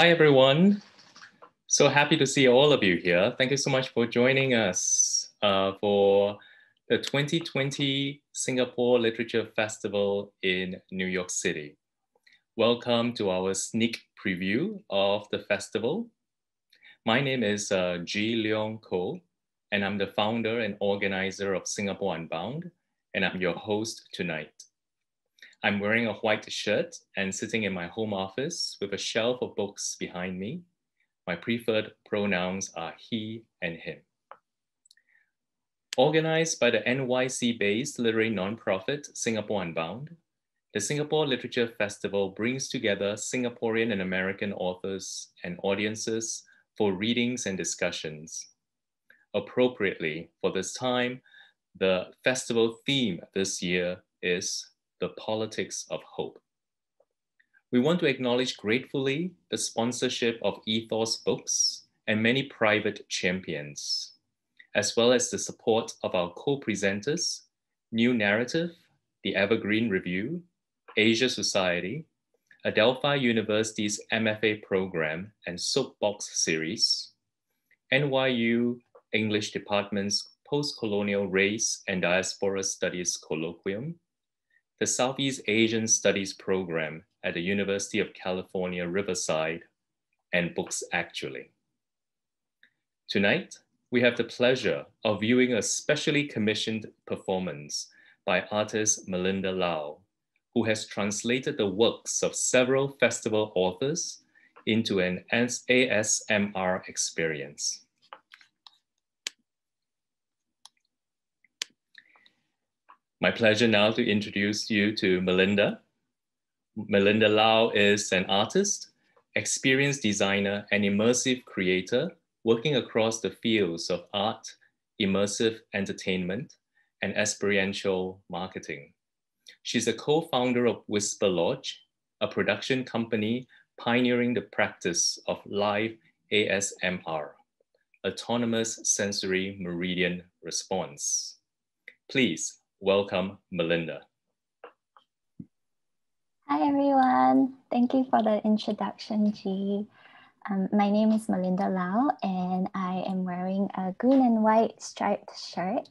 Hi, everyone. So happy to see all of you here. Thank you so much for joining us uh, for the 2020 Singapore Literature Festival in New York City. Welcome to our sneak preview of the festival. My name is uh, Ji Leong Koh, and I'm the founder and organizer of Singapore Unbound, and I'm your host tonight. I'm wearing a white shirt and sitting in my home office with a shelf of books behind me. My preferred pronouns are he and him. Organized by the NYC-based literary nonprofit Singapore Unbound, the Singapore Literature Festival brings together Singaporean and American authors and audiences for readings and discussions. Appropriately, for this time, the festival theme this year is the politics of hope. We want to acknowledge gratefully the sponsorship of Ethos Books and many private champions, as well as the support of our co-presenters, New Narrative, the Evergreen Review, Asia Society, Adelphi University's MFA program and Soapbox series, NYU English Department's Post-Colonial Race and Diaspora Studies Colloquium, the Southeast Asian Studies Program at the University of California, Riverside, and Books Actually. Tonight, we have the pleasure of viewing a specially commissioned performance by artist Melinda Lau, who has translated the works of several festival authors into an ASMR experience. My pleasure now to introduce you to Melinda. Melinda Lau is an artist, experienced designer, and immersive creator working across the fields of art, immersive entertainment, and experiential marketing. She's a co-founder of Whisper Lodge, a production company pioneering the practice of live ASMR, Autonomous Sensory Meridian Response. Please welcome Melinda. Hi everyone, thank you for the introduction, G. Um, my name is Melinda Lau and I am wearing a green and white striped shirt.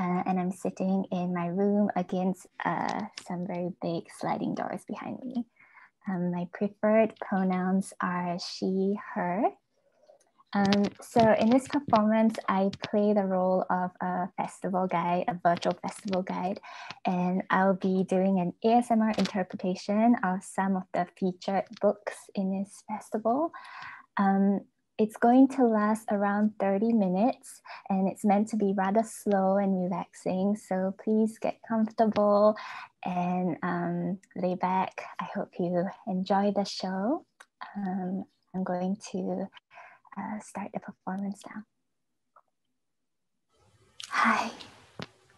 Uh, and I'm sitting in my room against uh, some very big sliding doors behind me. Um, my preferred pronouns are she, her. Um, so in this performance, I play the role of a festival guide, a virtual festival guide, and I'll be doing an ASMR interpretation of some of the featured books in this festival. Um, it's going to last around 30 minutes and it's meant to be rather slow and relaxing. So please get comfortable and um, lay back. I hope you enjoy the show. Um, I'm going to uh, start the performance now. Hi,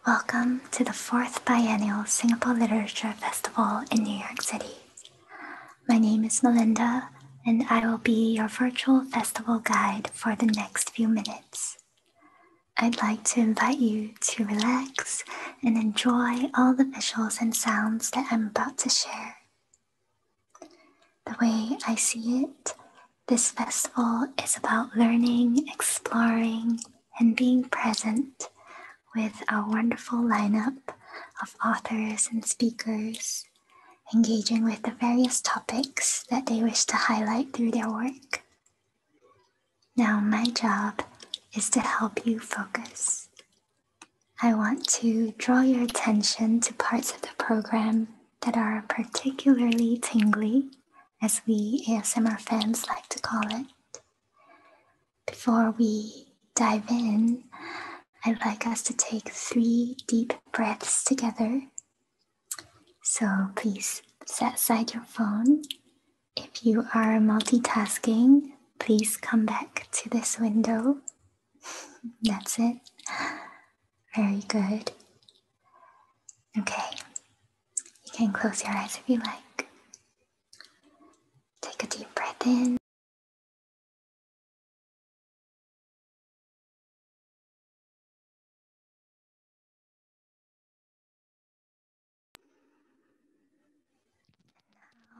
welcome to the fourth biennial Singapore Literature Festival in New York City my name is Melinda, and I will be your virtual festival guide for the next few minutes. I'd like to invite you to relax and enjoy all the visuals and sounds that I'm about to share. The way I see it, this festival is about learning, exploring, and being present with a wonderful lineup of authors and speakers engaging with the various topics that they wish to highlight through their work. Now, my job is to help you focus. I want to draw your attention to parts of the program that are particularly tingly, as we ASMR fans like to call it. Before we dive in, I'd like us to take three deep breaths together. So please set aside your phone. If you are multitasking, please come back to this window. That's it. Very good. Okay. You can close your eyes if you like. Take a deep breath in.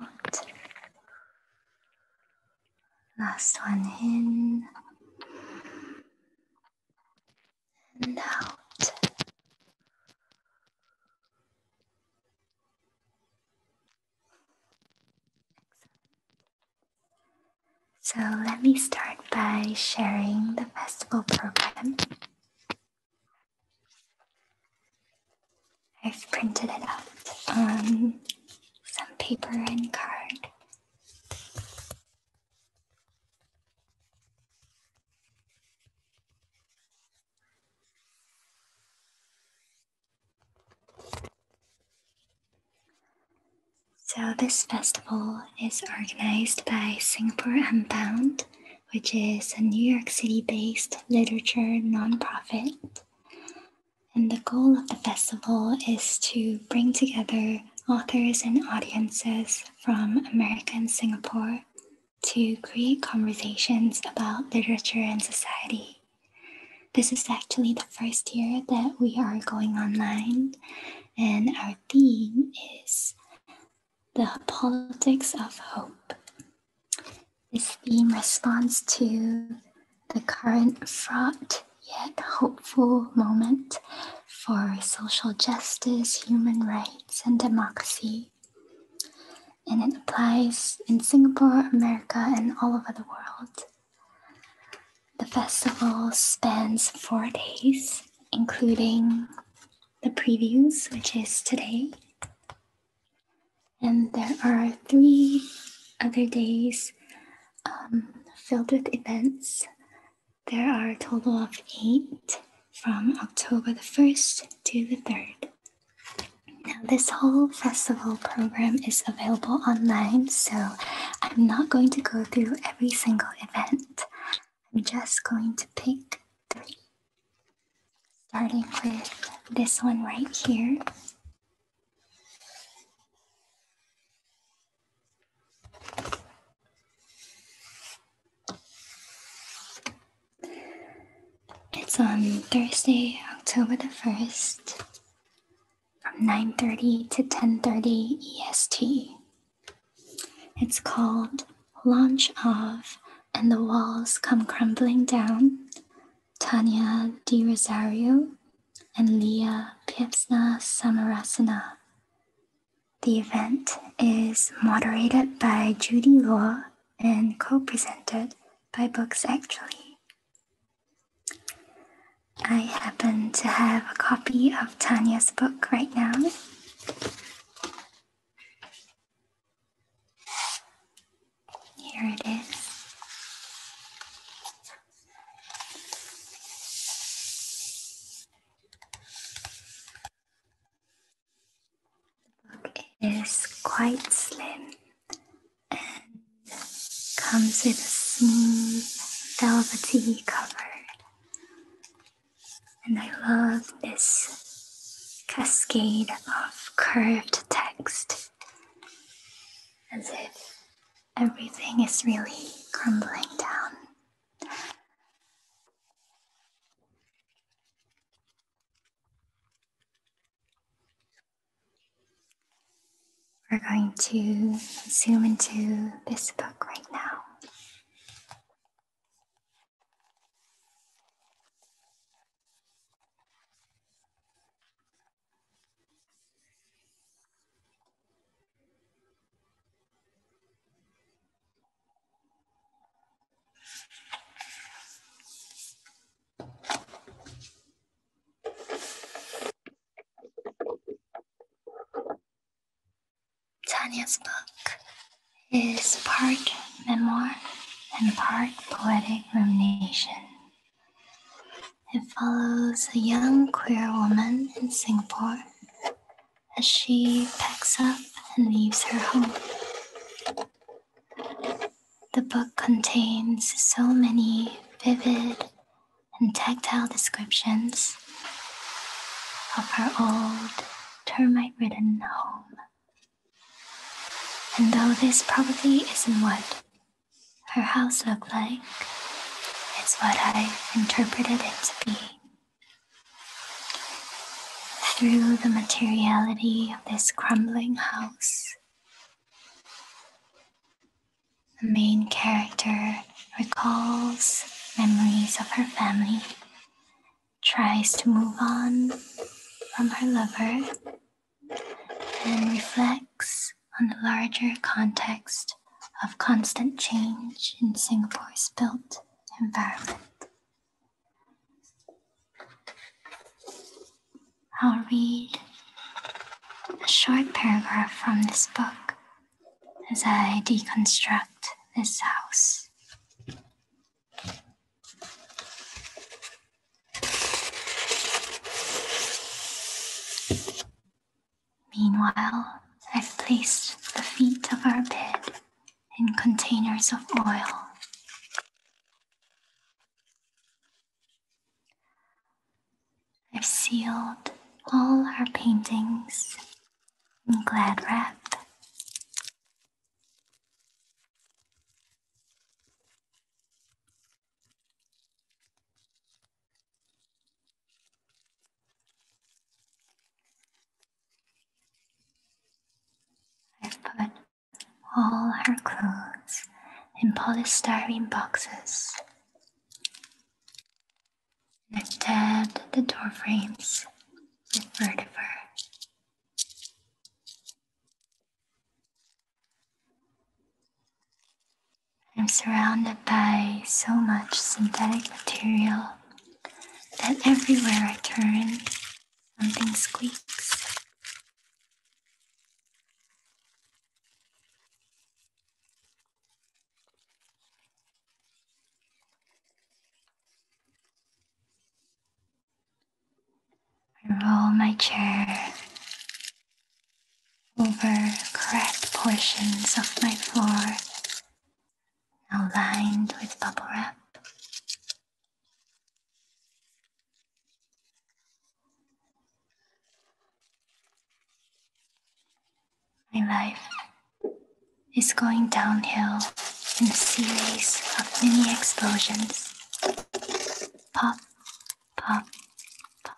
Out. Last one in and out. So let me start by sharing the festival program. I've printed it out on some paper and card. So, this festival is organized by Singapore Unbound, which is a New York City based literature nonprofit. And the goal of the festival is to bring together authors and audiences from America and Singapore to create conversations about literature and society. This is actually the first year that we are going online, and our theme is the politics of hope. This theme responds to the current fraught yet hopeful moment for social justice, human rights, and democracy and it applies in Singapore, America, and all over the world. The festival spans four days, including the previews, which is today. And there are three other days um, filled with events. There are a total of eight from October the 1st to the 3rd. Now, this whole festival program is available online, so I'm not going to go through every single event. I'm just going to pick three, starting with this one right here. It's on Thursday, October the 1st from 9:30 to 10:30 EST. It's called Launch of and the Walls Come Crumbling Down. Tanya Di Rosario and Leah Piepsna Samarasana. The event is moderated by Judy Law and co-presented by books actually. I happen to have a copy of Tanya's book right now. Here it is. The book is quite slim and comes with a smooth, velvety cover. And I love this cascade of curved text as if everything is really crumbling down. We're going to zoom into this book right now. Tanya's book is part memoir and part poetic rumination. It follows a young queer woman in Singapore as she packs up and leaves her home. The book contains so many vivid and tactile descriptions of her old termite ridden home. And though this probably isn't what her house looked like, it's what I interpreted it to be. Through the materiality of this crumbling house, the main character recalls memories of her family, tries to move on from her lover, and reflects on the larger context of constant change in Singapore's built environment I'll read a short paragraph from this book as I deconstruct this house. Meanwhile, I've placed the feet of our bed in containers of oil I've sealed all her paintings in glad wrap. I've put all her clothes in polystyrene boxes instead the door frames with vertiver. I'm surrounded by so much synthetic material that everywhere I turn Something squeaks. I roll my chair over cracked portions of my floor, now lined with bubble wrap. My life is going downhill in a series of mini explosions. Pop, pop, pop.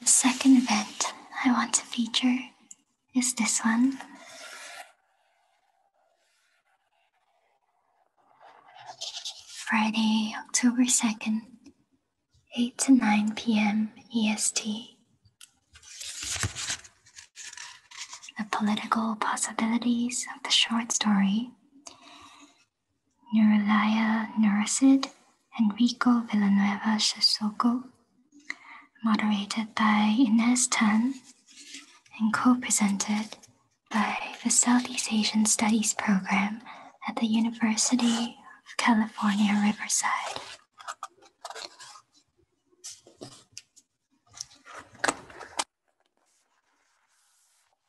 The second event I want to feature is this one. Friday, October 2nd, 8 to 9 p.m. EST. The political possibilities of the short story. Nurulaya Nurasid Enrico Villanueva Sissoko, moderated by Ines Tan and co-presented by the Southeast Asian Studies Program at the University of California, Riverside.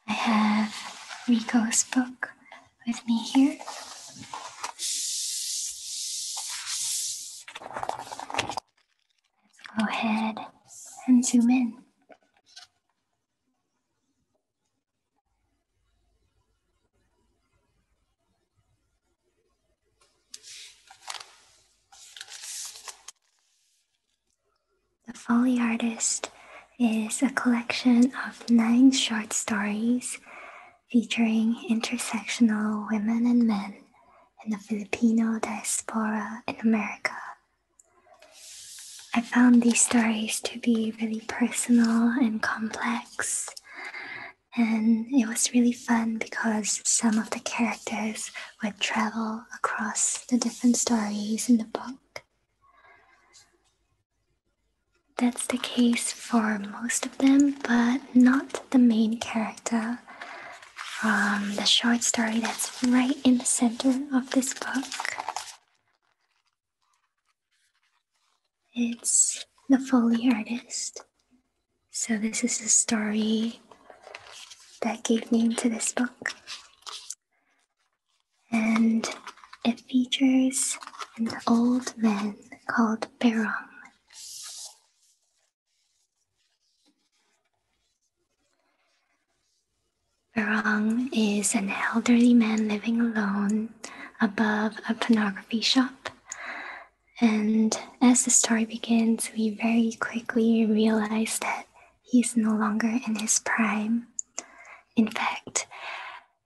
I have Rico's book with me here. Let's go ahead and zoom in. The Folly Artist is a collection of nine short stories featuring intersectional women and men in the Filipino diaspora in America. I found these stories to be really personal and complex, and it was really fun because some of the characters would travel across the different stories in the book. That's the case for most of them, but not the main character from the short story that's right in the center of this book. It's The Foley Artist so, this is the story that gave name to this book. And it features an old man called Barong. Barong is an elderly man living alone above a pornography shop and as the story begins, we very quickly realize that he's no longer in his prime. In fact,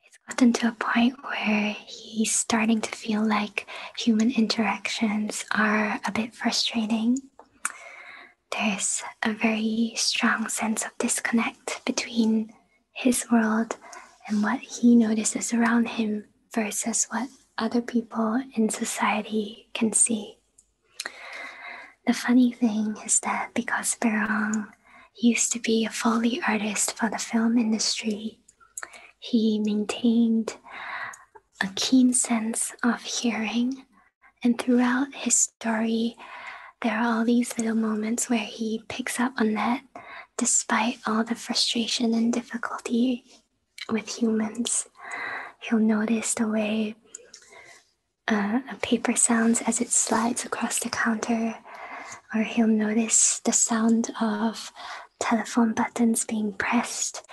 it's gotten to a point where he's starting to feel like human interactions are a bit frustrating. There's a very strong sense of disconnect between his world and what he notices around him versus what other people in society can see. The funny thing is that because Berong used to be a Foley artist for the film industry, he maintained a keen sense of hearing. And throughout his story, there are all these little moments where he picks up on that despite all the frustration and difficulty with humans. He'll notice the way uh, a paper sounds as it slides across the counter, or he'll notice the sound of telephone buttons being pressed,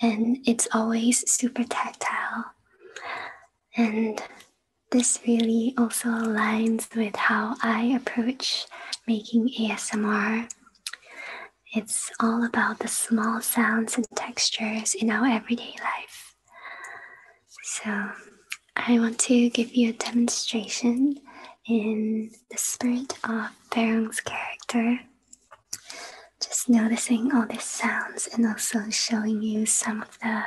and it's always super tactile. And this really also aligns with how I approach making ASMR. It's all about the small sounds and textures in our everyday life. So, I want to give you a demonstration in the spirit of Barong's character. Just noticing all these sounds and also showing you some of the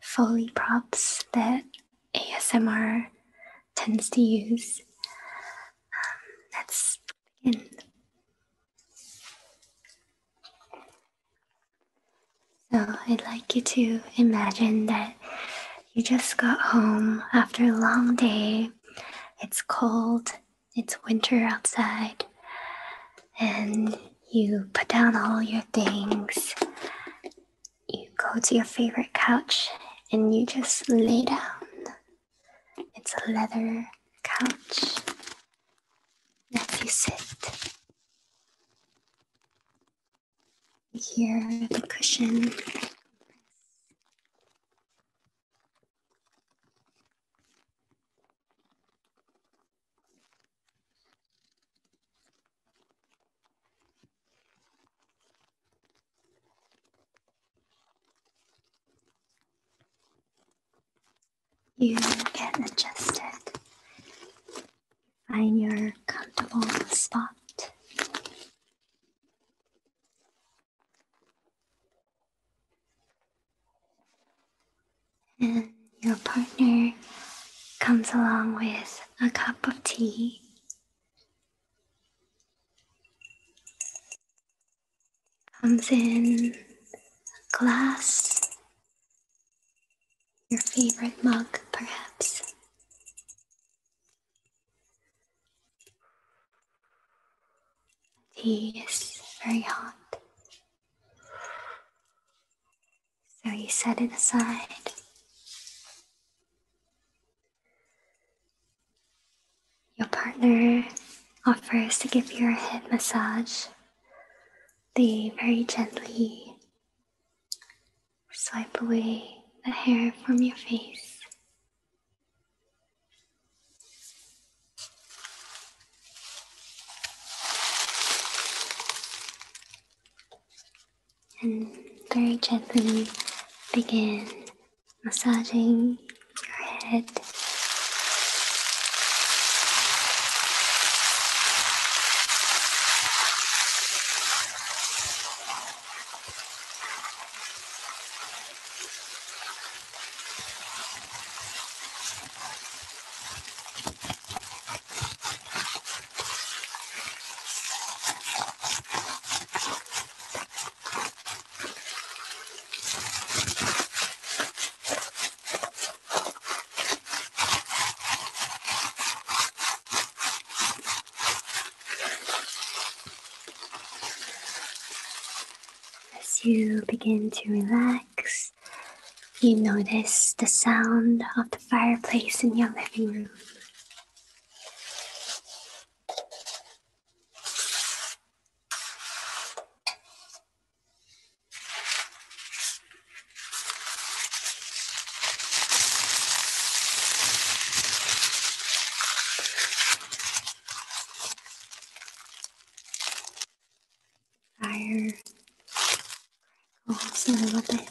Foley props that ASMR tends to use let's begin. So, I'd like you to imagine that you just got home after a long day. It's cold, it's winter outside, and you put down all your things. You go to your favorite couch and you just lay down. It's a leather couch that you sit. Here, the cushion. You can adjust it. Find your comfortable spot. And your partner comes along with a cup of tea comes in a glass, your favorite mug, perhaps. Tea is very hot, so you set it aside. Your partner offers to give you a head massage. They very gently swipe away the hair from your face. And very gently begin massaging your head. As you begin to relax, you notice the sound of the fireplace in your living room. Fire crackles a little bit.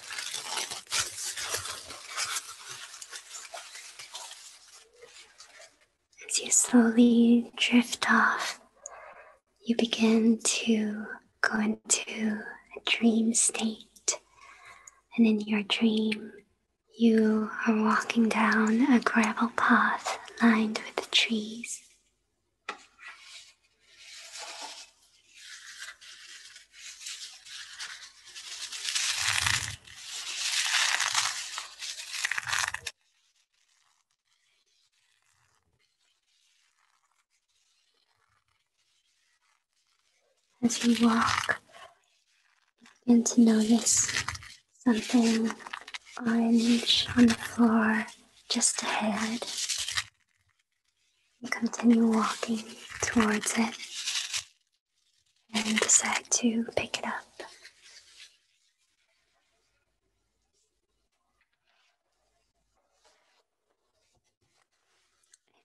As you slowly drift off, you begin to go into a dream state. And in your dream, you are walking down a gravel path lined with trees. As you walk, you begin to notice something orange on the floor just ahead and continue walking towards it and decide to pick it up.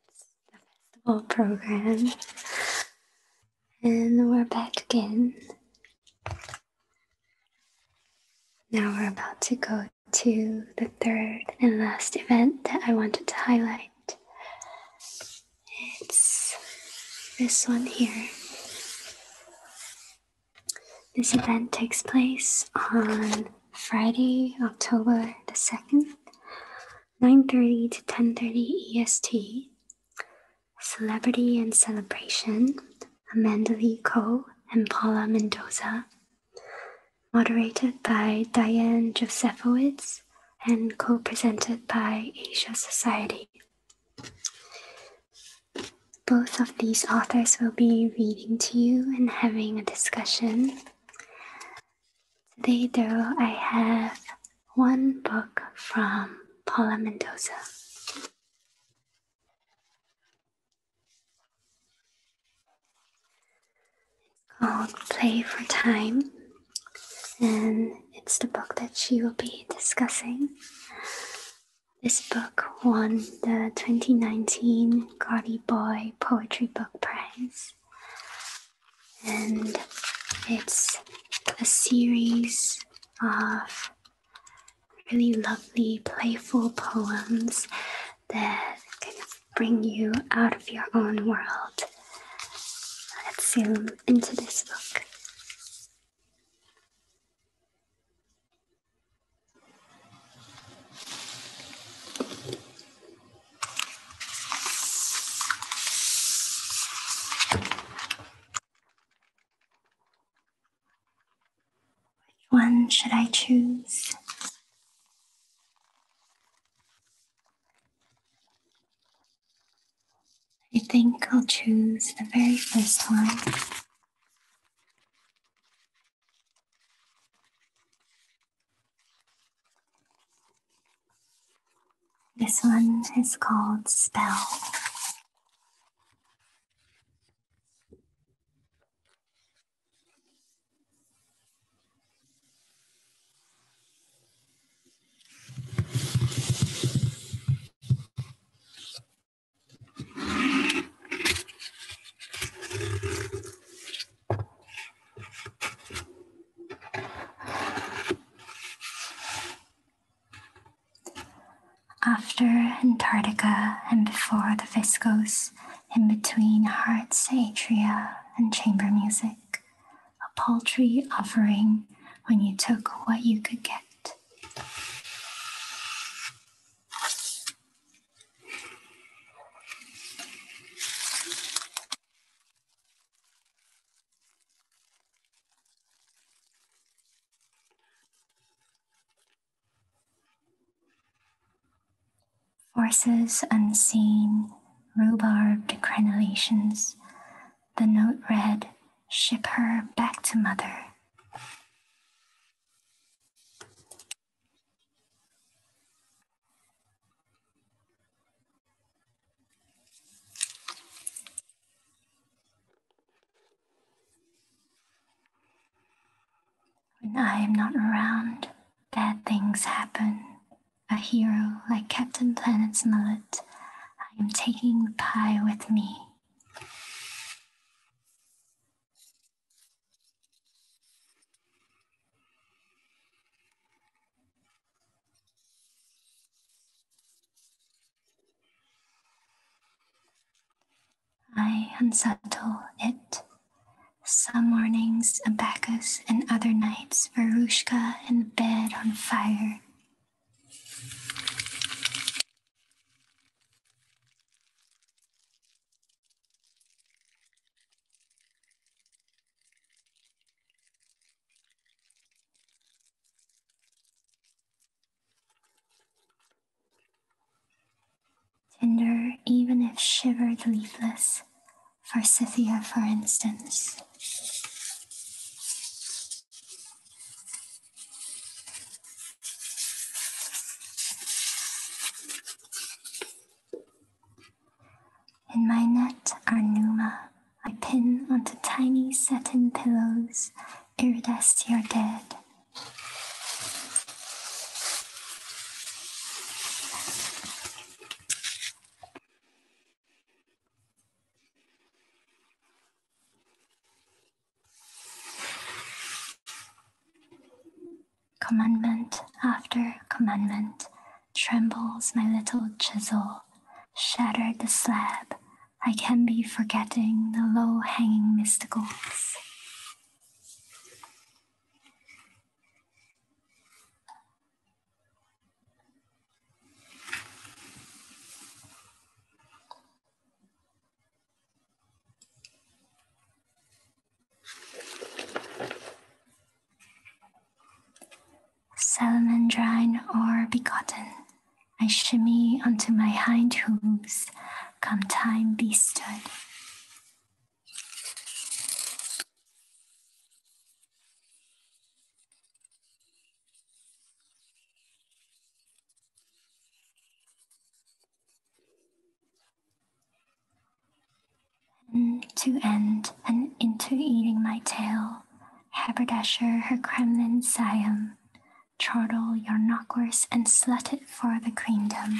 It's the festival program, and we're back again. Now we're about to go to the third and last event that I wanted to highlight. It's this one here. This event takes place on Friday, October the 2nd, 9:30 to 10:30 EST. Celebrity and Celebration, Amanda Lee Co and Paula Mendoza moderated by Diane Josephowitz and co presented by Asia Society. Both of these authors will be reading to you and having a discussion. Today, though, I have one book from Paula Mendoza called Play for Time, and it's the book that she will be discussing. This book won the 2019 Gaudy Boy Poetry Book Prize, and it's a series of really lovely, playful poems that can bring you out of your own world. Let's zoom into this book. Which one should I choose? I think I'll choose the very first one. This one is called Spell. After Antarctica and before the viscose in between heart's satria and chamber music, a paltry offering when you took what you could get. Forces unseen, rhubarbed crenellations, the note read, Ship her back to mother. When I am not around, bad things happen. A hero like Captain Planet's mullet, I am taking pie with me. I unsettle it. Some mornings, a and other nights, Verushka and bed on fire. Tender, even if shivered leafless, For forsythia, for instance. In my net are Numa. I pin onto tiny satin pillows iridescent dead Commandment after commandment trembles my little chisel, shattered the slab. I can be forgetting the low hanging mysticals. Salamandrine or begotten, I shimmy onto my hind hooves, come time be stood. To end and into eating my tail, haberdasher her Kremlin Siam, chortle your knockwurst and slut it for the queendom.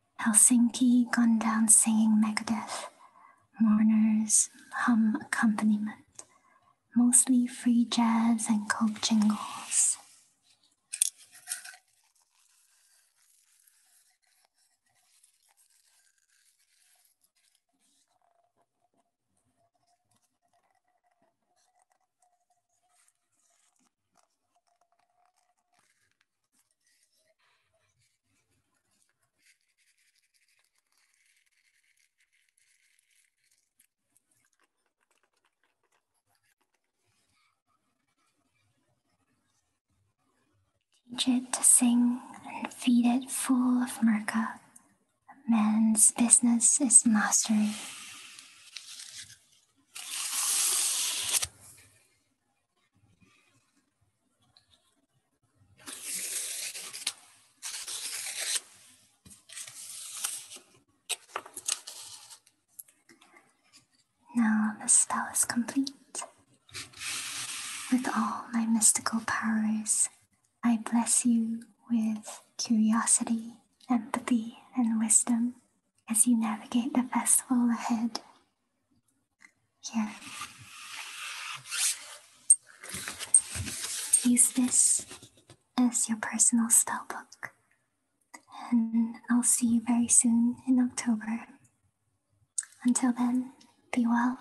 Helsinki gone down singing Megadeth. Mourners hum accompaniment, mostly free jazz and coke jingles. Teach it to sing and feed it full of murka. A man's business is mastery. Now the spell is complete. With all my mystical powers, I bless you with curiosity, empathy, and wisdom as you navigate the festival ahead yeah. Use this as your personal style book. And I'll see you very soon in October. Until then, be well.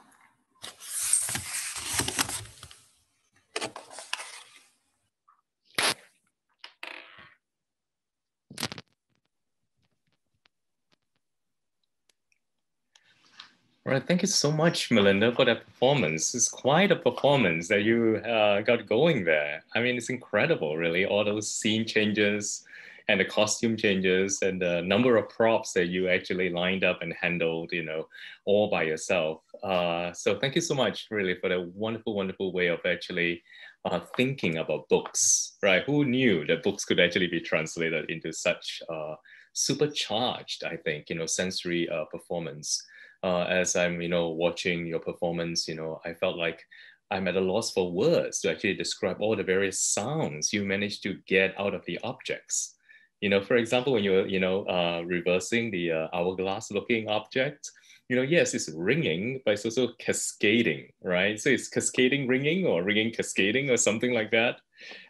All right, thank you so much, Melinda, for that performance. It's quite a performance that you uh, got going there. I mean, it's incredible, really, all those scene changes and the costume changes and the number of props that you actually lined up and handled, you know, all by yourself. Uh, so thank you so much, really, for that wonderful, wonderful way of actually uh, thinking about books, right? Who knew that books could actually be translated into such uh, supercharged, I think, you know, sensory uh, performance. Uh, as I'm, you know, watching your performance, you know, I felt like I'm at a loss for words to actually describe all the various sounds you managed to get out of the objects. You know, for example, when you're, you know, reversing the hourglass-looking object, you know, yes, it's ringing, but it's also cascading right? So it's cascading ringing or ringing cascading or something like that.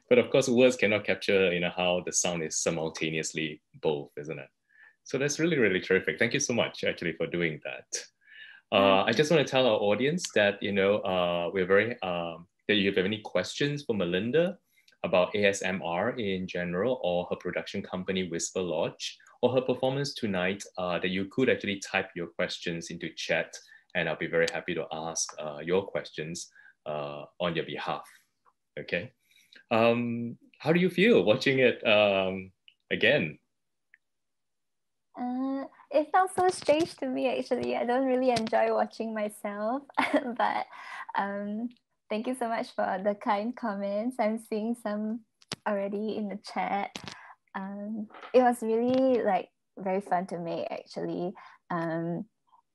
But of course, words cannot capture you know how the sound is simultaneously both, isn't it? So that's really really terrific. Thank you so much actually for doing that. Uh, I just want to tell our audience that you know uh, we're very um, that you have any questions for Melinda about ASMR in general or her production company Whisper Lodge, or her performance tonight uh, that you could actually type your questions into chat and I'll be very happy to ask uh, your questions uh, on your behalf. Okay. Um, how do you feel watching it um, again? it felt so strange to me actually. I don't really enjoy watching myself, but um, thank you so much for the kind comments. I'm seeing some already in the chat. Um, it was really like very fun to make actually. Um,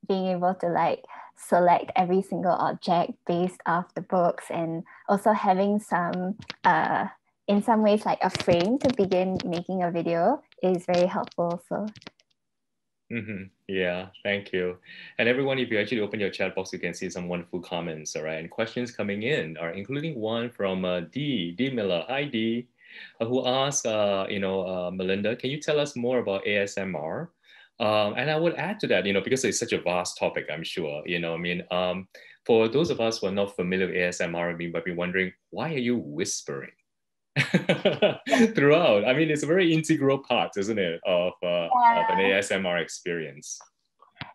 being able to like select every single object based off the books and also having some uh, in some ways like a frame to begin making a video is very helpful so mm-hmm. yeah thank you and everyone if you actually open your chat box you can see some wonderful comments all right and questions coming in are including one from uh, D, D Miller. Hi, D, uh, who asked, uh, you know, Melinda, can you tell us more about ASMR? Um, and I would add to that, you know, because it's such a vast topic, I'm sure, you know, I mean, um, for those of us who are not familiar with ASMR, I mean, might be wondering, why are you whispering? throughout. I mean, it's a very integral part, isn't it, of an ASMR experience.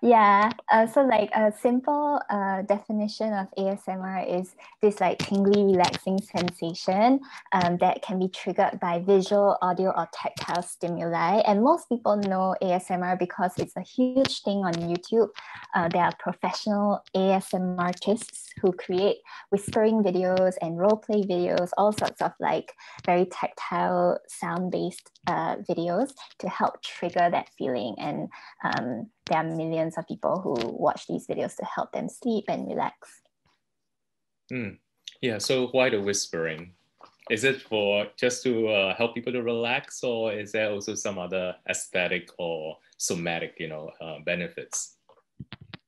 Yeah, uh, so like a simple uh, definition of ASMR is this like tingly, relaxing sensation um, that can be triggered by visual, audio, or tactile stimuli. And most people know ASMR because it's a huge thing on YouTube. Uh, there are professional ASMR artists who create whispering videos and role play videos, all sorts of like very tactile, sound based videos to help trigger that feeling. And um, there are millions of people who watch these videos to help them sleep and relax. Mm. Yeah, so why the whispering? Is it for just to uh, help people to relax, or is there also some other aesthetic or somatic, you know, uh, benefits?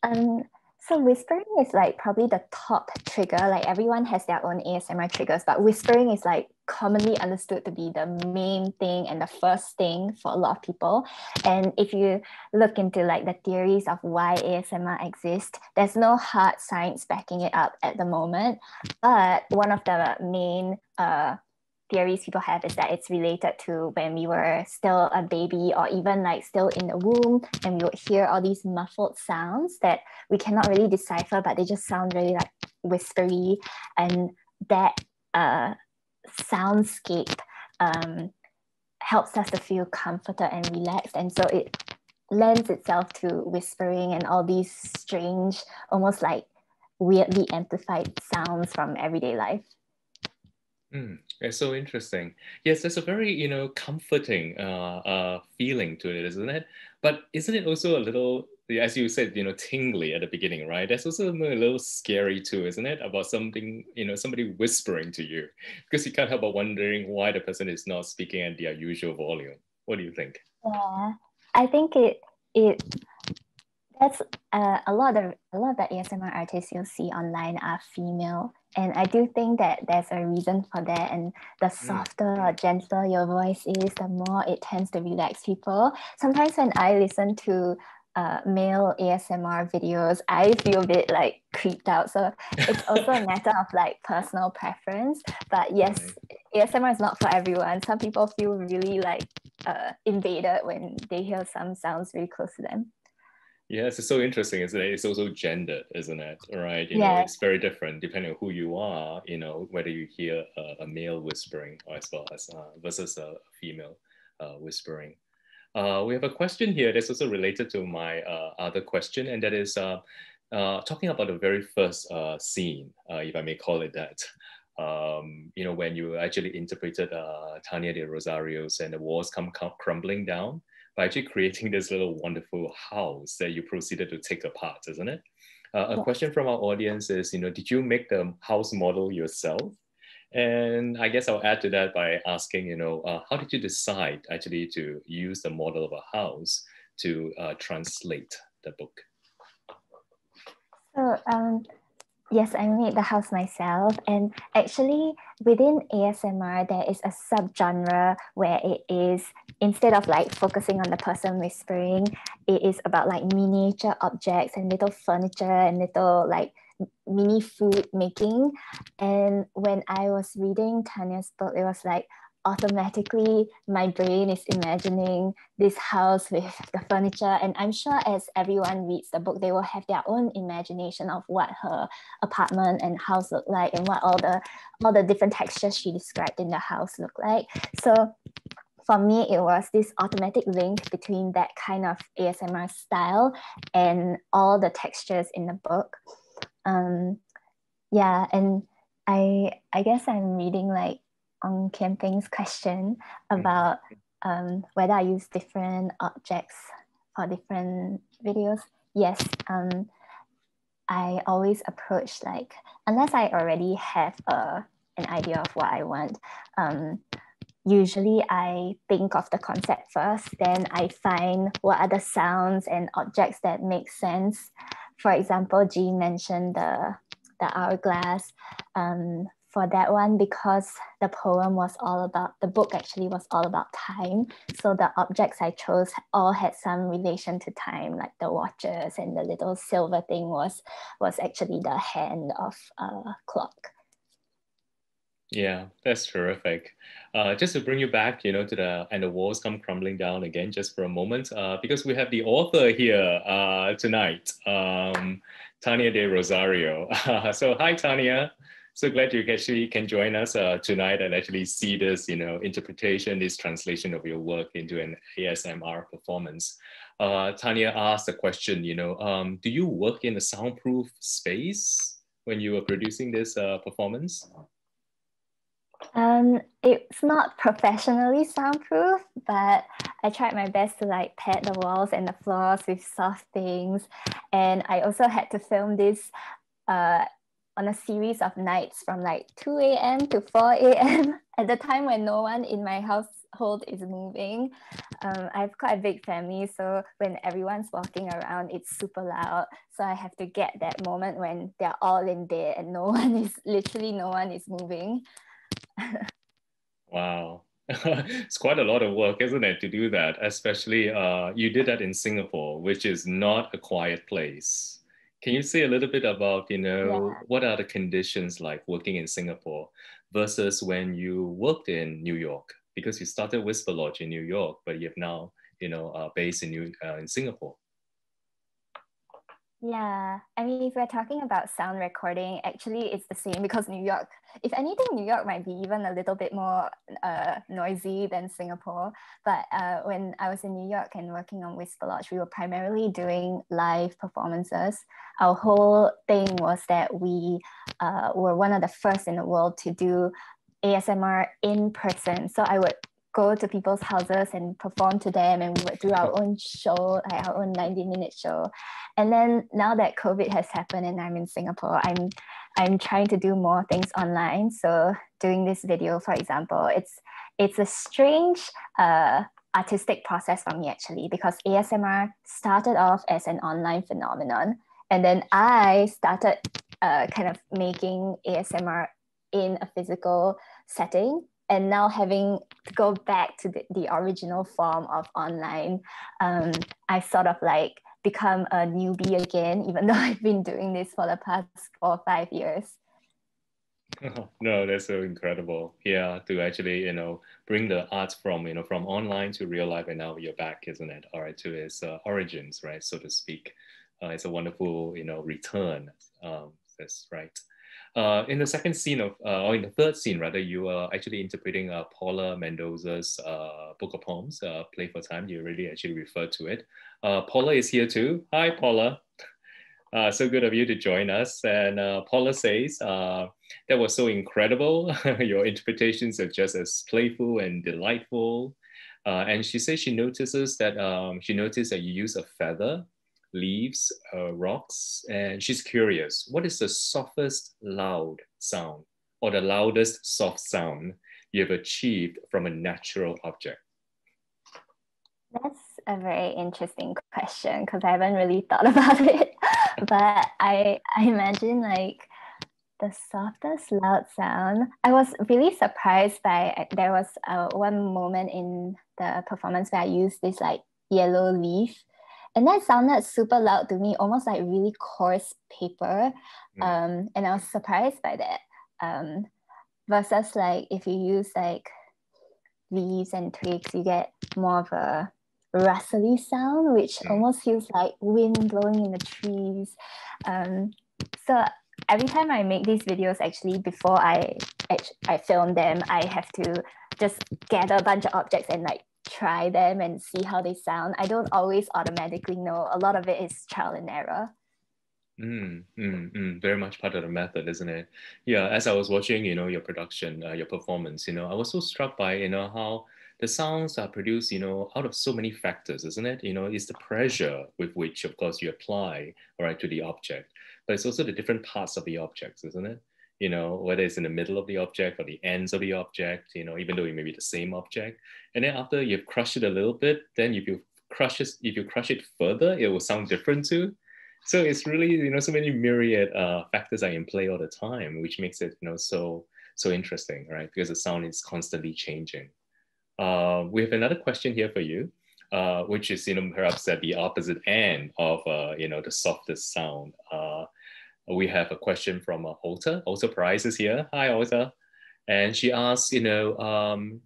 Um, so whispering is like probably the top trigger. Like everyone has their own ASMR triggers, but whispering is like commonly understood to be the main thing and the first thing for a lot of people. And if you look into like the theories of why ASMR exists, there's no hard science backing it up at the moment. But one of the main uh, theories people have is that it's related to when we were still a baby or even like still in the womb and we would hear all these muffled sounds that we cannot really decipher but they just sound really like whispery and that uh, soundscape um, helps us to feel comforted and relaxed and so it lends itself to whispering and all these strange almost like weirdly amplified sounds from everyday life Mm, it's so interesting. Yes, there's a very you know comforting uh, uh feeling to it, isn't it? But isn't it also a little, as you said, you know, tingly at the beginning, right? That's also a little scary too, isn't it? About something, you know, somebody whispering to you, because you can't help but wondering why the person is not speaking at their usual volume. What do you think? Yeah, I think it it that's uh, a lot of a lot of the ASMR artists you'll see online are female, and I do think that there's a reason for that. And the mm. softer or gentler your voice is, the more it tends to be relax people. Sometimes when I listen to uh, male ASMR videos, I feel a bit like creeped out. So it's also a matter of like personal preference. But yes, right. ASMR is not for everyone. Some people feel really like uh, invaded when they hear some sounds very close to them. Yeah, it's so interesting, It's also gendered, isn't it? Right? yeah. it's very different depending on who you are, you know, whether you hear a, male whispering as well as uh, versus a female uh, whispering. Uh, we have a question here that's also related to my other question, and that is talking about the very first scene, if I may call it that. Um, you know, when you actually interpreted Tania de Rosario's and the walls come crumbling down by actually creating this little wonderful house that you proceeded to take apart, isn't it? Uh, a question from our audience is, you know, did you make the house model yourself? And I guess I'll add to that by asking, you know, uh, how did you decide actually to use the model of a house to uh, translate the book? So, um, yes, I made the house myself. And actually, within ASMR, there is a subgenre where it is instead of like focusing on the person with whispering it is about like miniature objects and little furniture and little like mini food making and when i was reading tanya's book it was like automatically my brain is imagining this house with the furniture and i'm sure as everyone reads the book they will have their own imagination of what her apartment and house look like and what all the all the different textures she described in the house look like so for me, it was this automatic link between that kind of ASMR style and all the textures in the book. Um, yeah, and I I guess I'm reading like on camping's question mm. about um, whether I use different objects for different videos. Yes, um, I always approach like unless I already have a an idea of what I want, um, usually I think of the concept first, then I find what are the sounds and objects that make sense. For example, Jean mentioned the, the hourglass. Um, for that one, because the poem was all about, the book actually was all about time. So the objects I chose all had some relation to time, like the watches and the little silver thing was was actually the hand of a clock. Yeah, that's terrific. Uh, just to bring you back, you know, to the and the walls come crumbling down again, just for a moment, uh, because we have the author here uh, tonight, um, Tania de Rosario. so, hi, Tania. So glad you actually can join us tonight and actually see this, you know, interpretation, this translation of your work into an ASMR performance uh, Tanya asked a question, you know, um, do you work in a soundproof space when you were producing this uh, performance? Um, it's not professionally soundproof, but I tried my best to like pad the walls and the floors with soft things. And I also had to film this uh, on a series of nights from like 2 a.m. to 4 a.m. at the time when no one in my household is moving. Um, I have got a big family, so when everyone's walking around, it's super loud. So I have to get that moment when they're all in there and no one is literally no one is moving. wow. it's quite a lot of work, isn't it, to do that? Especially uh, you did that in Singapore, which is not a quiet place. Can you say a little bit about, you know, what are the conditions like working in Singapore versus when you worked in New York? Because you started Whisper Lodge in New York, but you are now, you know, are based in New uh, in Singapore. Yeah, I mean, if we're talking about sound recording, actually, it's the same because New York, if anything, New York might be even a little bit more uh, noisy than Singapore. But uh, when I was in New York and working on Whisper we were primarily doing live performances. Our whole thing was that we uh, were one of the first in the world to do ASMR in person. So I would go to people's houses and perform to them and we would do our own show our own 90 minute show and then now that covid has happened and i'm in singapore i'm i'm trying to do more things online so doing this video for example it's it's a strange uh, artistic process for me actually because ASMR started off as an online phenomenon and then I started uh, kind of making ASMR in a physical setting and now having to go back to the, original form of online um, I sort of like become a newbie again even though I've been doing this for the past four five years no, that's so incredible. Yeah, to actually you know bring the arts from you know from online to real life, and now you're back, isn't it? All right, to its uh, origins, right, so to speak. Uh, it's a wonderful you know return. Um, that's right. Uh, in the second scene of, uh, or in the third scene rather, you are actually interpreting Paula Mendoza's book of poems, Play for Time. You already actually referred to it. Paula is here too. Hi, Paula. Uh, so good of you to join us. And uh, Paula says, uh, that was so incredible. Your interpretations are just as playful and delightful. and she says she notices that um, she noticed that you use a feather, leaves, rocks, and she's curious. What is the softest loud sound or the loudest soft sound you have achieved from a natural object? That's a very interesting question because I haven't really thought about it. but I, I imagine like the softest loud sound. I was really surprised by there was uh, one moment in the performance where I used this like yellow leaf, and that sounded super loud to me, almost like really coarse paper. Mm. Um, and I was surprised by that. Um, versus like if you use like leaves and twigs, you get more of a rustly sound, which mm. almost feels like wind blowing in the trees. Um, so every time I make these videos, actually, before I I film them, I have to just gather a bunch of objects and like try them and see how they sound. I don't always automatically know. A lot of it is trial and error. Mm. Mm, mm, very much part of the method, isn't it? Yeah. As I was watching, you know, your production, uh, your performance, you know, I was so struck by, you know, how the sounds are produced, you know, out of so many factors, isn't it? You know, it's the pressure with which, of course, you apply, right, to the object, but it's also the different parts of the objects, isn't it? You know, whether it's in the middle of the object or the ends of the object, you know, even though it may be the same object. And then after you've crushed it a little bit, then if you crush it, if you crush it further, it will sound different too so it's really you know so many myriad uh, factors are in play all the time which makes it you know so so interesting right because the sound is constantly changing uh, we have another question here for you uh, which is you know perhaps at the opposite end of you know the softest sound we have a question from uh, Alta. Alta Price is here. Hi, Alta. And she asks, you know, um,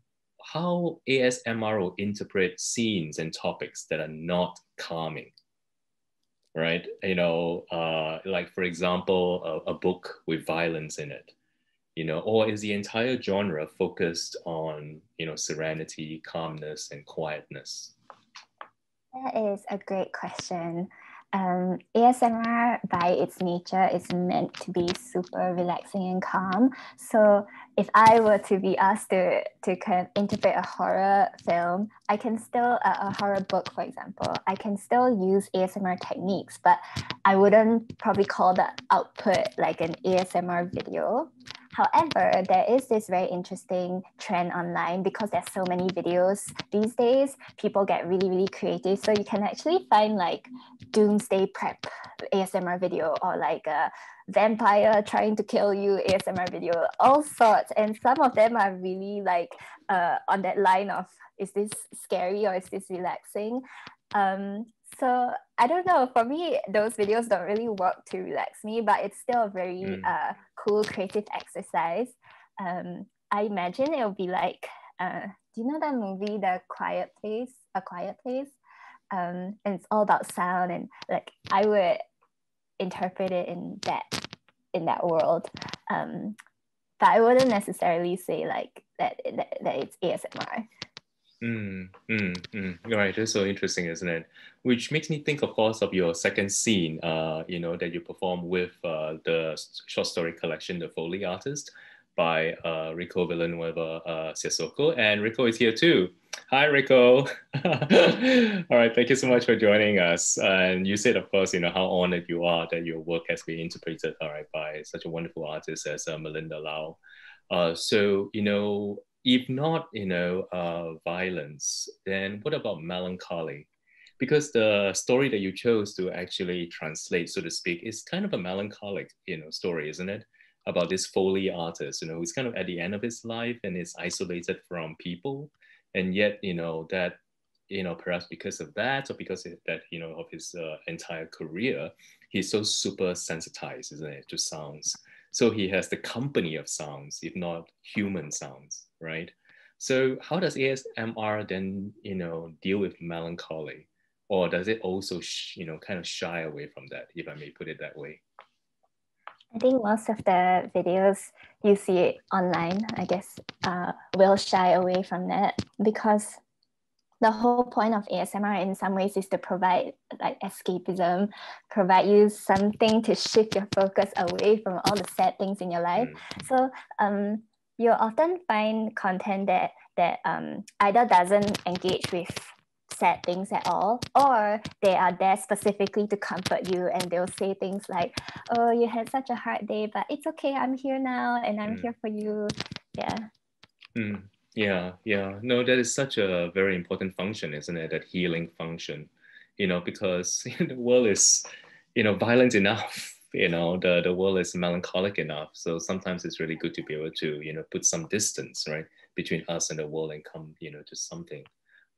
how ASMR will interpret scenes and topics that are not calming, right? You know, uh, like for example, a, a book with violence in it, you know, or is the entire genre focused on, you know, serenity, calmness, and quietness? That is a great question. Um, ASMR by its nature is meant to be super relaxing and calm. So if I were to be asked to to kind of interpret a horror film, I can still, a horror book, for example, I can still use ASMR techniques, but I wouldn't probably call the output like an ASMR video. However, there is this very interesting trend online because there's so many videos these days. People get really, really creative. So you can actually find like doomsday prep ASMR video or like a uh, vampire trying to kill you ASMR video, all sorts. And some of them are really like uh, on that line of is this scary or is this relaxing? Um, so I don't know. For me, those videos don't really work to relax me, but it's still a very hmm. uh, cool creative exercise. Um, I imagine it'll be like, uh, do you know that movie, The Quiet Place? a quiet place. Um, and it's all about sound and like I would interpret it in that in that world. Um, but I wouldn't necessarily say like that that, that it's ASMR. Mm, mm, mm. Right, that's so interesting, isn't it? Which makes me think, of course, of your second scene, uh, you know, that you perform with uh, the short story collection, The Foley Artist, by uh, Rico Villanueva uh, Sissoko. And Rico is here too. Hi, Rico. All right, thank you so much for joining us. And you said, of course, you know how honored you are that your work has been interpreted, all right, by such a wonderful artist as uh, Melinda Lau. Uh, so, you know, if not, you know, uh, violence, then what about melancholy? Because the story that you chose to actually translate, so to speak, is kind of a melancholic, you know, story, isn't it? about this Foley artist, you know, who's kind of at the end of his life and is isolated from people. And yet, you know, that, you know, perhaps because of that or because of that, you know, of his uh, entire career, he's so super sensitized, isn't it, to sounds. So he has the company of sounds, if not human sounds, right? So how does ASMR then, you know, deal with melancholy? Or does it also, you know, kind of shy away from that, if I may put it that way? I think most of the videos you see online, I guess, uh, will shy away from that because the whole point of ASMR in some ways is to provide like escapism, provide you something to shift your focus away from all the sad things in your life. Mm. So um, you'll often find content that that um, either doesn't engage with sad things at all, or they are there specifically to comfort you and they'll say things like, Oh, you had such a hard day, but it's okay, I'm here now and I'm mm. here for you. Yeah. Mm. Yeah, yeah. No, that is such a very important function, isn't it? That healing function, you know, because the world is, you know, violent enough. You know, the, the world is melancholic enough. So sometimes it's really good to be able to, you know, put some distance, right? between us and the world and come, you know, to something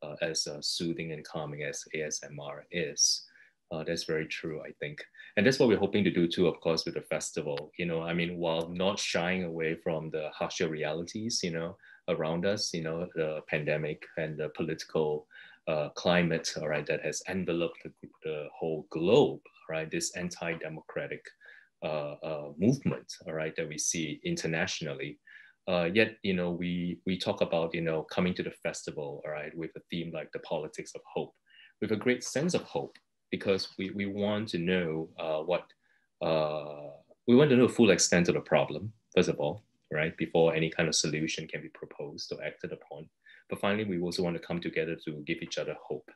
uh, as uh, soothing and calming as ASMR is. Uh, that's very true, I think. And that's what we're hoping to do too, of course, with the festival. You know, I mean, while not shying away from the harsher realities, you know, around us, you know, the pandemic and the political climate, all right, that has enveloped the, the whole globe, right? This anti democratic uh, uh, movement, all right, that we see internationally. Uh, yet, you know, we we talk about you know coming to the festival, all right, with a theme like the politics of hope, with a great sense of hope, because we we want to know what we want to know the full extent of the problem first of all, right, before any kind of solution can be proposed or acted upon. But finally, we also want to come together to give each other hope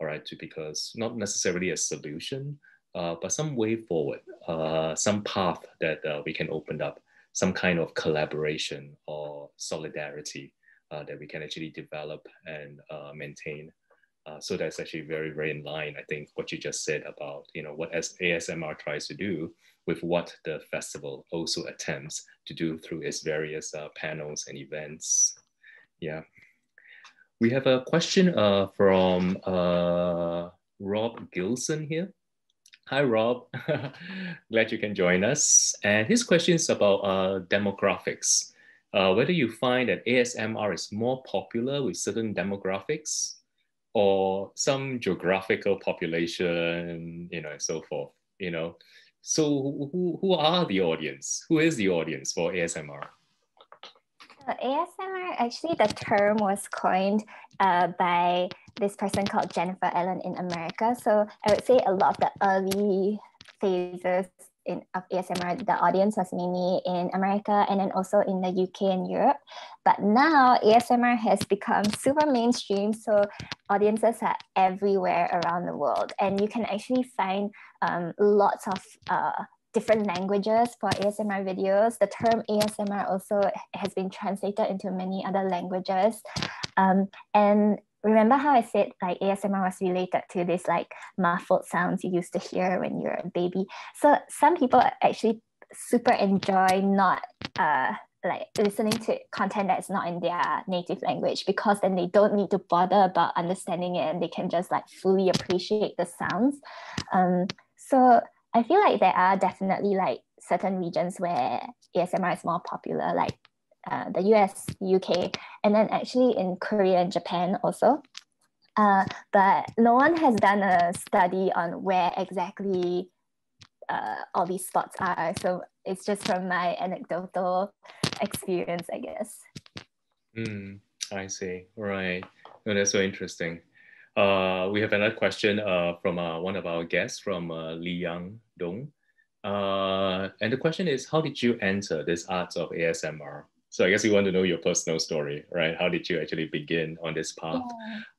all right, to because not necessarily a solution, uh, but some way forward, uh, some path that uh, we can open up, some kind of collaboration or solidarity that we can actually develop and maintain. so that's actually very, very in line, I think, what you just said about, you know, what ASMR tries to do with what the festival also attempts to do through its various panels and events. Yeah. We have a question uh, from uh, Rob Gilson here. Hi, Rob. Glad you can join us. And his question is about uh, demographics. Uh, whether you find that ASMR is more popular with certain demographics or some geographical population, you know, and so forth, you know. So who, who are the audience? Who is the audience for ASMR? So ASMR, actually, the term was coined uh, by this person called Jennifer Allen in America. So I would say a lot of the early phases in, of ASMR, the audience was mainly in America and then also in the UK and Europe. But now ASMR has become super mainstream, so audiences are everywhere around the world, and you can actually find um, lots of uh, different languages for ASMR videos. The term ASMR also has been translated into many other languages. Um, and remember how I said like ASMR was related to this like muffled sounds you used to hear when you're a baby. So some people actually super enjoy not uh, like listening to content that's not in their native language because then they don't need to bother about understanding it and they can just like fully appreciate the sounds. Um, so I feel like there are definitely like certain regions where ASMR is more popular, like uh, the US, UK, and then actually in Korea and Japan also. Uh, but no one has done a study on where exactly uh, all these spots are. So it's just from my anecdotal experience, I guess. Mm, I see. Right. that's so interesting. Uh, we have another question uh, from uh, one of our guests from uh, Li Yang Dong. Uh, and the question is, how did you enter this arts of ASMR? So I guess we want to know your personal story, right? How did you actually begin on this path?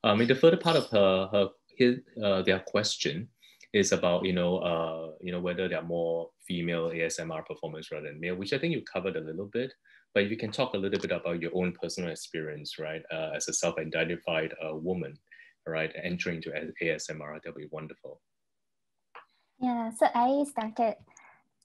Yeah. Um, in the further part of her, her uh, their question is about, you know, you know, whether there are more female ASMR performers rather than male, which I think you covered a little bit. But you can talk a little bit about your own personal experience, right, uh, as a self-identified uh, woman, right, entering to ASMR. that would be wonderful. Yeah, so I started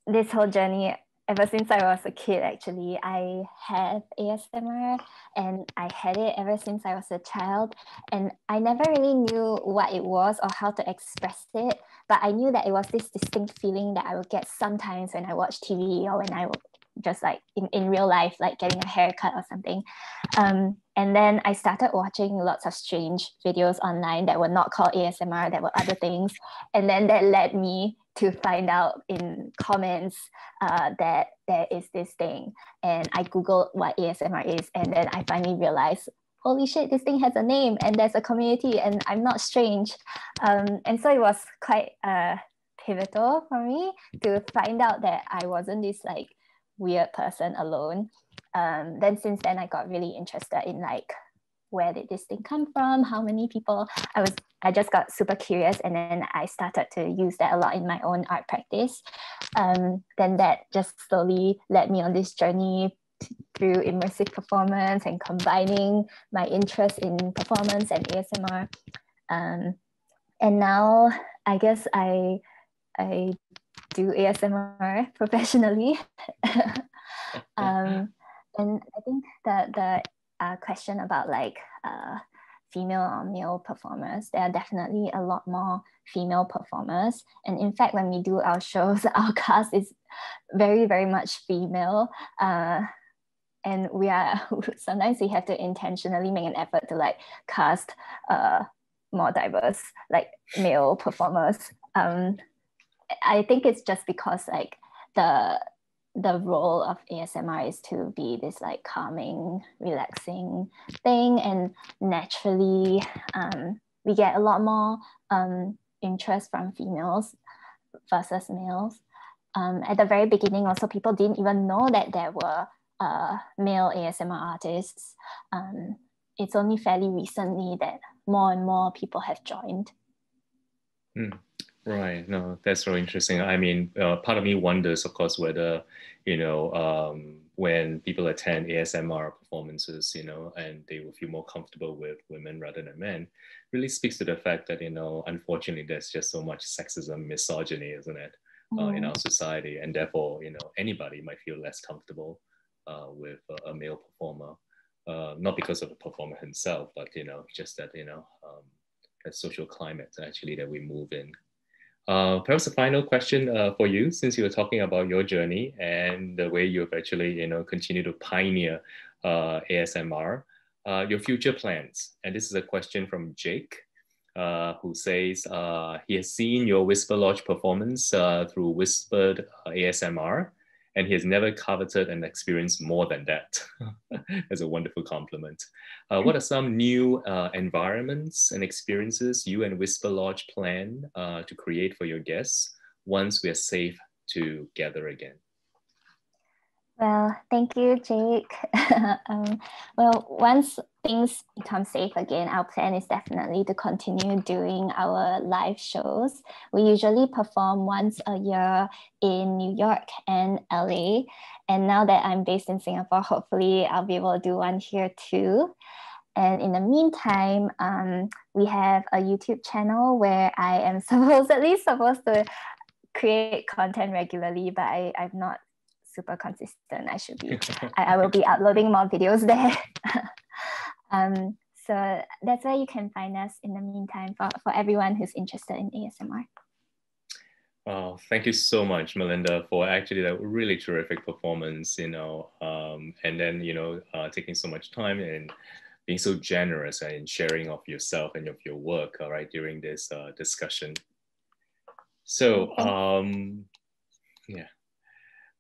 this whole journey ever since I was a kid, actually, I had ASMR and I had it ever since I was a child. And I never really knew what it was or how to express it, but I knew that it was this distinct feeling that I will get sometimes when I watch TV or when I just like in, in real life, like getting a haircut or something. Um, and then I started watching lots of strange videos online that were not called ASMR, that were other things. And then that led me to find out in comments uh, that there is this thing. And I Googled what ASMR is. And then I finally realized holy shit, this thing has a name and there's a community and I'm not strange. Um, and so it was quite uh, pivotal for me to find out that I wasn't this like weird person alone. Um, then since then, I got really interested in like where did this thing come from? How many people? I was I just got super curious, and then I started to use that a lot in my own art practice. Um, then that just slowly led me on this journey through immersive performance and combining my interest in performance and ASMR. Um, and now I guess I, I do ASMR professionally. Um, and I think that the uh, question about like uh, female or male performers, there are definitely a lot more female performers. And in fact, when we do our shows, our cast is very very much female uh, and we are sometimes we have to intentionally make an effort to like cast uh, more diverse like male performers um, i think it's just because like the the role of asmr is to be this like calming relaxing thing and naturally um, we get a lot more um, interest from females versus males. Um, at the very beginning, also people didn't even know that there were uh, male ASMR artists. Um, it's only fairly recently that more and more people have joined. Hmm. Right. No, that's very interesting. I mean, uh, part of me wonders, of course, whether you know when people attend ASMR performances, you know, and they will feel more comfortable with women rather than men really speaks to the fact that you know unfortunately there's just so much sexism misogyny isn't it uh, in our mm. society and therefore you know anybody might feel less comfortable uh, with a, male performer uh, not because of the performer himself but you know just that you know um, that social climate actually that we move in perhaps a final question for you since you were talking about your journey and the way you've actually you know continue to pioneer uh, ASMR, uh, your future plans. And this is a question from Jake, uh, who says he has seen your Whisper Lodge performance through whispered ASMR, and he has never coveted an experience more than that. That's a wonderful compliment. what are some new environments and experiences you and Whisper Lodge plan to create for your guests once we are safe together again. Well, thank you, Jake. um, well, once things become safe again, our plan is definitely to continue doing our live shows. We usually perform once a year in New York and LA. And now that I'm based in Singapore, hopefully I'll be able to do one here too. And in the meantime, um, we have a YouTube channel where I am supposedly supposed to create content regularly, but I, I'm not super consistent. I should be, I, I will be uploading more videos there. um, so that's where you can find us in the meantime for, for everyone who's interested in ASMR. Wow, thank you so much, Melinda, for actually that really terrific performance, you know, um, and then, you know, uh, taking so much time and being so generous and sharing of yourself and of your work, all right, during this uh, discussion. So, um, yeah.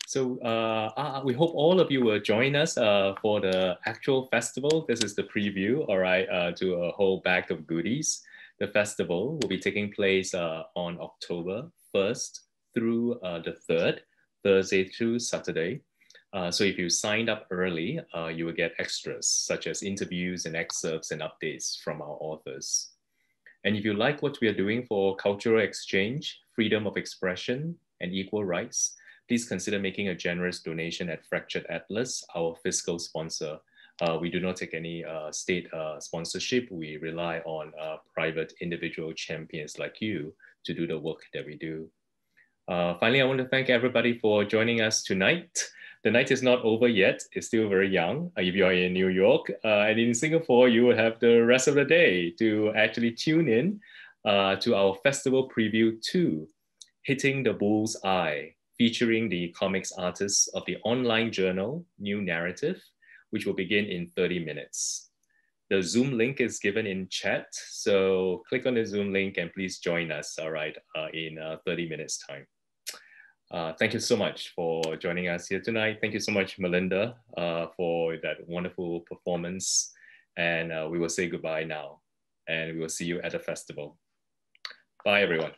So uh, uh, we hope all of you will join us uh, for the actual festival. This is the preview, all right, uh, to a whole bag of goodies. The festival will be taking place on October 1st through the 3rd Thursday through Saturday. Uh, so if you signed up early, uh, you will get extras such as interviews and excerpts and updates from our authors. And if you like what we are doing for cultural exchange, freedom of expression, and equal rights, please consider making a generous donation at Fractured Atlas, our fiscal sponsor. Uh, we do not take any state sponsorship. We rely on private individual champions like you to do the work that we do. Uh, finally, I want to thank everybody for joining us tonight. The night is not over yet. It's still very young. Uh, if you are in New York uh, and in Singapore, you will have the rest of the day to actually tune in to our festival preview two, Hitting the Bull's Eye, featuring the comics artists of the online journal New Narrative, which will begin in 30 minutes. The Zoom link is given in chat. So click on the Zoom link and please join us, all right, uh, in uh, 30 minutes time. Uh, thank you so much for joining us here tonight. Thank you so much, Melinda, for that wonderful performance. And we will say goodbye now. And we will see you at the festival. Bye, everyone.